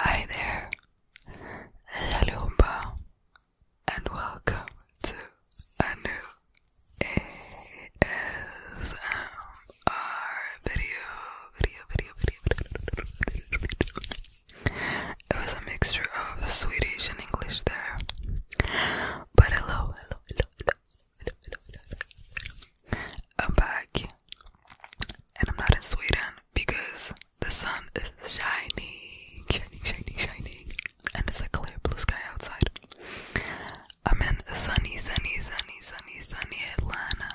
Hi there, Yalupa, and welcome to a new ASMR our video, video, video, video, video, It was a mixture of Swedish and English there. But hello, hello, hello, hello, hello, hello, I'm back, and I'm not in Sweden because the sun is shining, shining, shining, shining, and it's a clear blue sky outside. I'm in sunny, sunny, sunny, sunny, sunny Atlanta,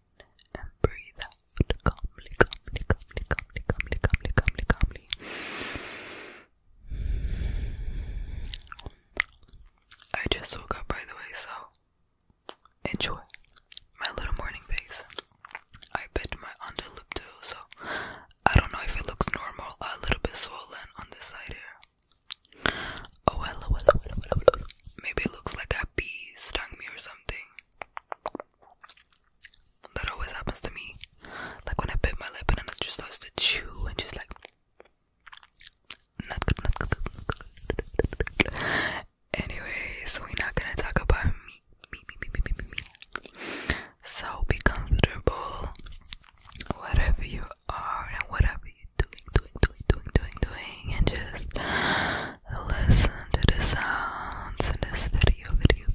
and breathe out calmly, calmly, calmly, calmly, calmly, calmly, calmly, calmly. I just woke up by the way, so enjoy my little morning face. I bit my underlip too, so I don't know if it looks normal a little bit swollen on this side here. Oh well, well, well, well, well, maybe it looks like a bee stung me or something. That always happens to me. Like when I bit my lip and then it just starts to chew and just like not good, we're not gonna talk about me, me, me, me, me, me, me, So be comfortable, whatever you are and whatever you doing, doing, doing, doing, doing, doing, and just listen to the sounds in this video, video,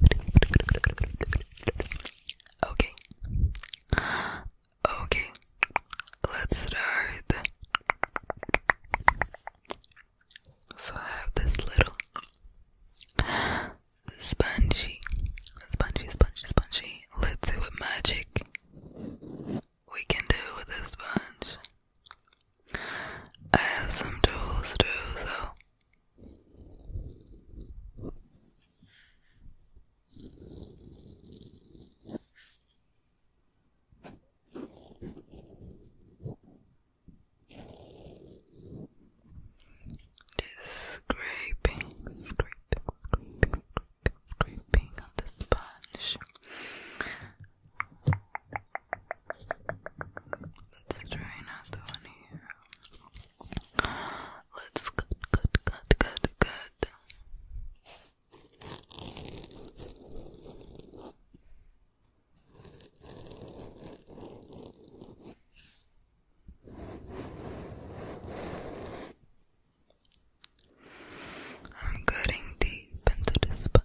Okay. Okay. Let's start. So I have this little spongy, spongy, spongy, spongy. Let's see what magic we can do with this sponge. I have some tools too, so just scraping, scraping on the sponge. Let's try another one here. Let's cut, cut, cut, cut, cut. I'm cutting deep into this spine.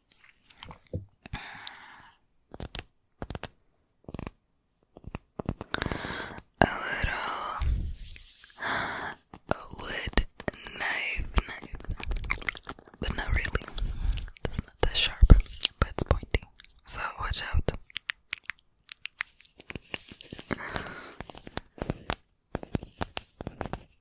a little wood knife, knife, but not really. It's not that sharp, but it's pointy. So watch out.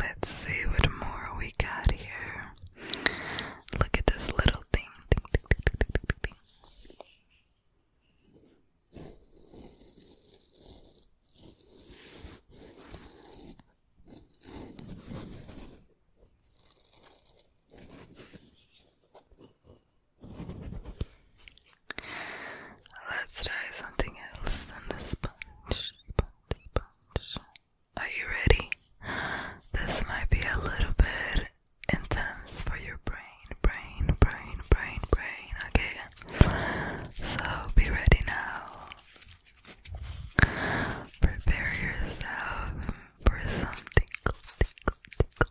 Let's see what more we got here. Look at this little thing. Let's try something else than the sponge, sponge, sponge. Are you ready? This might be a little bit intense for your brain, brain, brain, brain, brain. Okay, so be ready now. Prepare yourself for some tickle, tickle, tickle,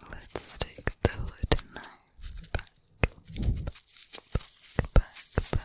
Let's take the hood knife back, back, back, back, back.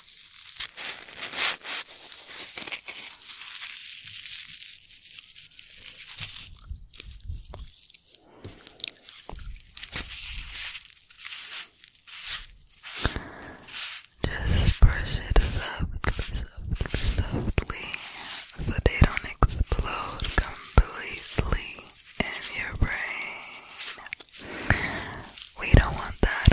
Just brush it softly, softly, softly so they don't explode completely in your brain. We don't want that.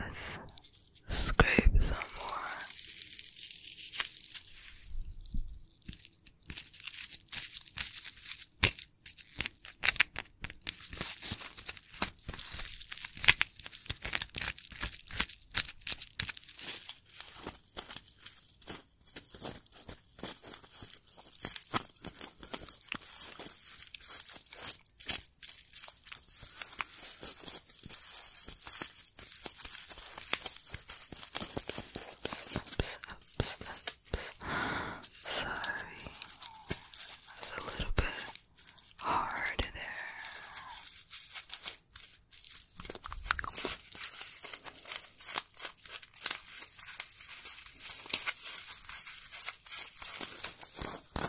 Let's scrape some more. Sorry, it's a little bit hard there. Okay.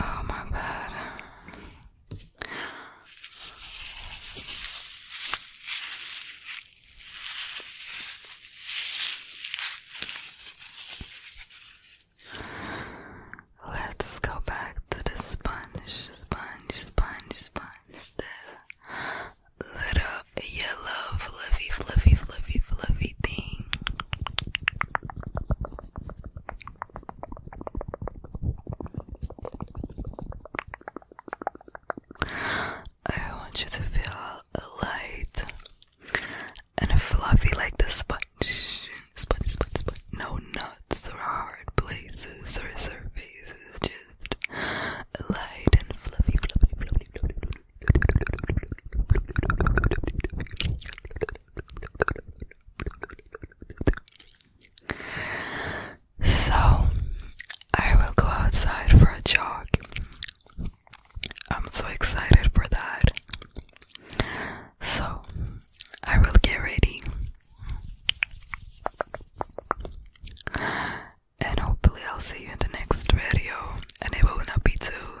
Oh, my god! Let's go back to the sponge, sponge, sponge, sponge. The little a yellow fluffy, fluffy, fluffy, fluffy thing. I want you to feel light and fluffy like the sponge. Sponge, sponge, sponge. No nuts or hard places or surfaces. Just light and fluffy, fluffy, fluffy, fluffy, so, I will go outside for a jog. I'm so excited for that. So, I will get ready. And hopefully, I'll see you in the next video. And it will not be too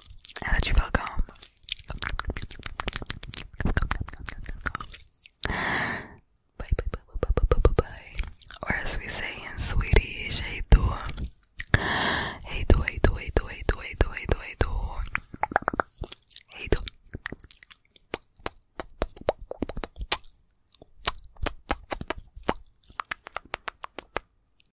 and that you felt calm. Bye, bye, bye, bye, bye, bye, bye, bye. Or as we say in Swedish, hey do, hey do, hey do, hey do, hey do, hey do, hey do,